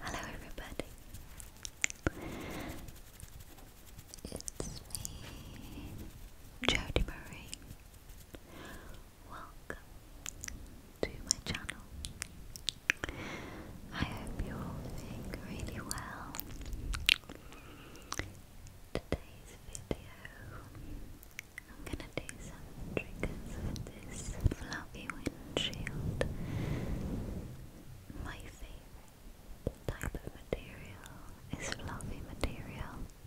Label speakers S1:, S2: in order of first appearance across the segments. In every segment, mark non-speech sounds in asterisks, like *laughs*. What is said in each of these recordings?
S1: Hello, everybody. It's me, Jodie Marie. Welcome to my channel. I hope you're all doing really well. Today's video I'm gonna do some triggers with this fluffy windshield. My favorite type of material is fluffy material.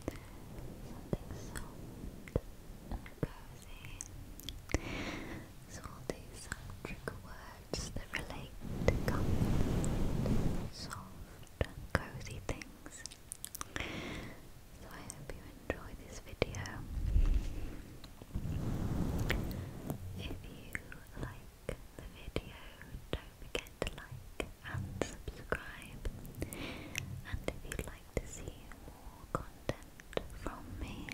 S1: soft cozy. So I'll do words that relate to comfort, soft and cozy things. So I hope you enjoyed this video. If you like the video, don't forget to like and subscribe. And if you'd like to see more content from me,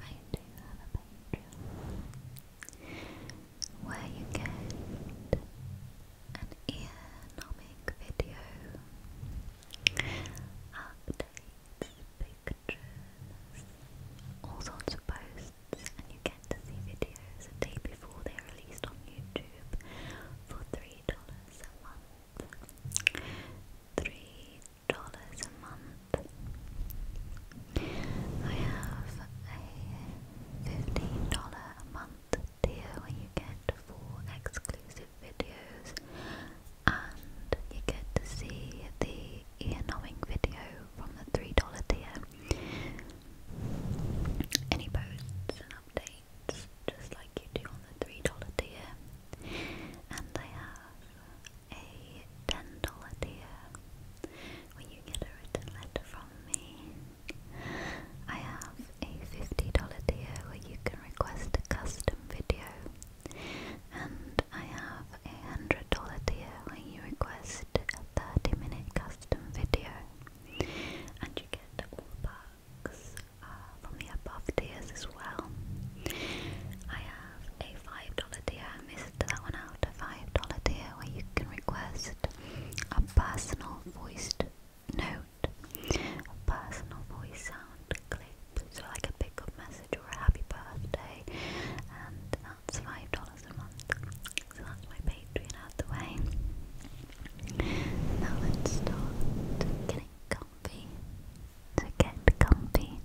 S1: I do have a Patreon where you get an ear video, updates, pictures, all sorts of posts, and you get to see videos a day before they're released on YouTube for three dollars a month. Three dollars a month. I have a fifteen dollar a month deal where you get four exclusive videos and you get to see the ear numbing video from the $3 tier. Any posts and updates just like you do on the $3 tier. And they have a $10 tier where you get a written letter from me I have a $50 tier where you can request a custom video, and I have a $100 tier where you request a 30 minute custom video, and you get all the perks uh, from the above tiers as well. I have a $5 tier, I missed that one out, a $5 tier where you can request a personal voiced note, a personal voice sound clip, so like a pickup message or a happy birthday, and that's five dollars a month. So that's my Patreon out way. Now let's start getting comfy. So get comfy,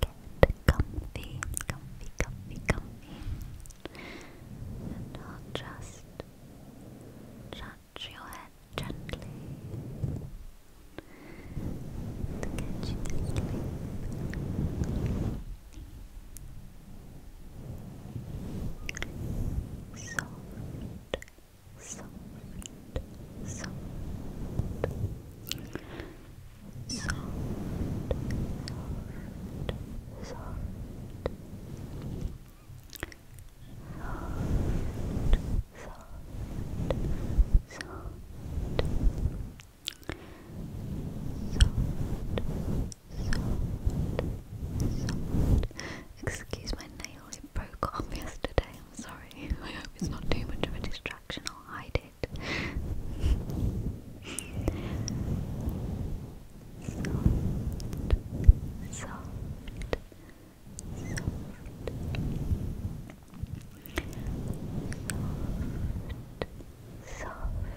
S1: get comfy, comfy, comfy, comfy, and i just touch your head gently
S2: to you to Soft, soft, soft, soft, soft, soft. Excuse my nail, it broke off yesterday. I'm sorry. *laughs* I hope it's not too much of a distraction. I'll hide it soft, soft, soft. Soft, soft, soft, soft, soft, soft, soft, soft, soft,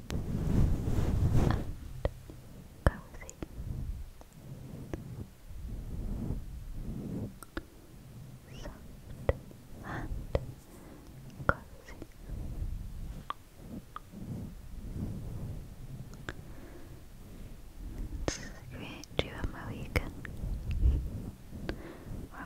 S2: and cozy. Soft and cozy. It's great to have my weekend or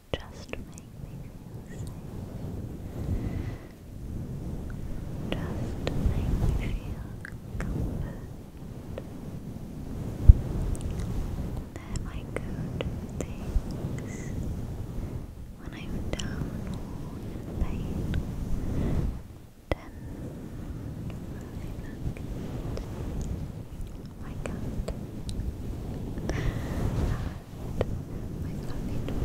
S3: Just make me feel safe. Just make me feel comfort. they my good things. When I'm down in pain, then I my cat. my fluffy was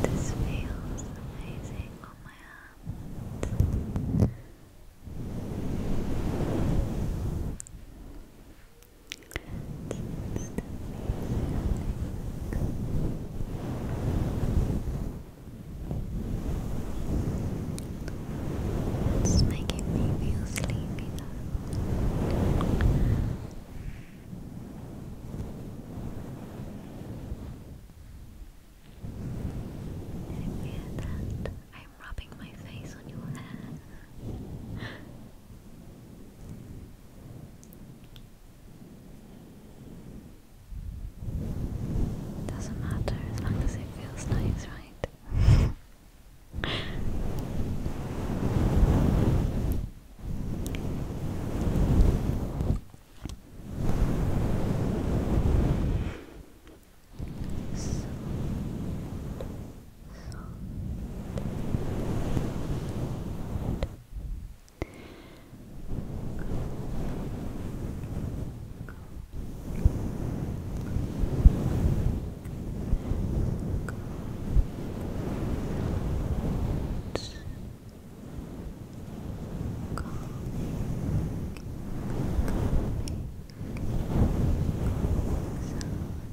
S3: feels amazing on my hands. It's making me feel sleepy now. Did you that? I'm rubbing my face on your hair.
S4: Doesn't matter as long as it feels nice, right? sound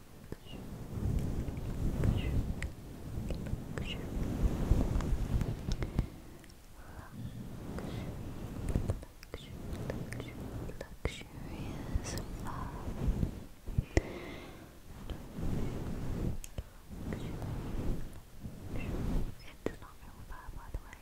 S4: luxurious love. It's not real by the way.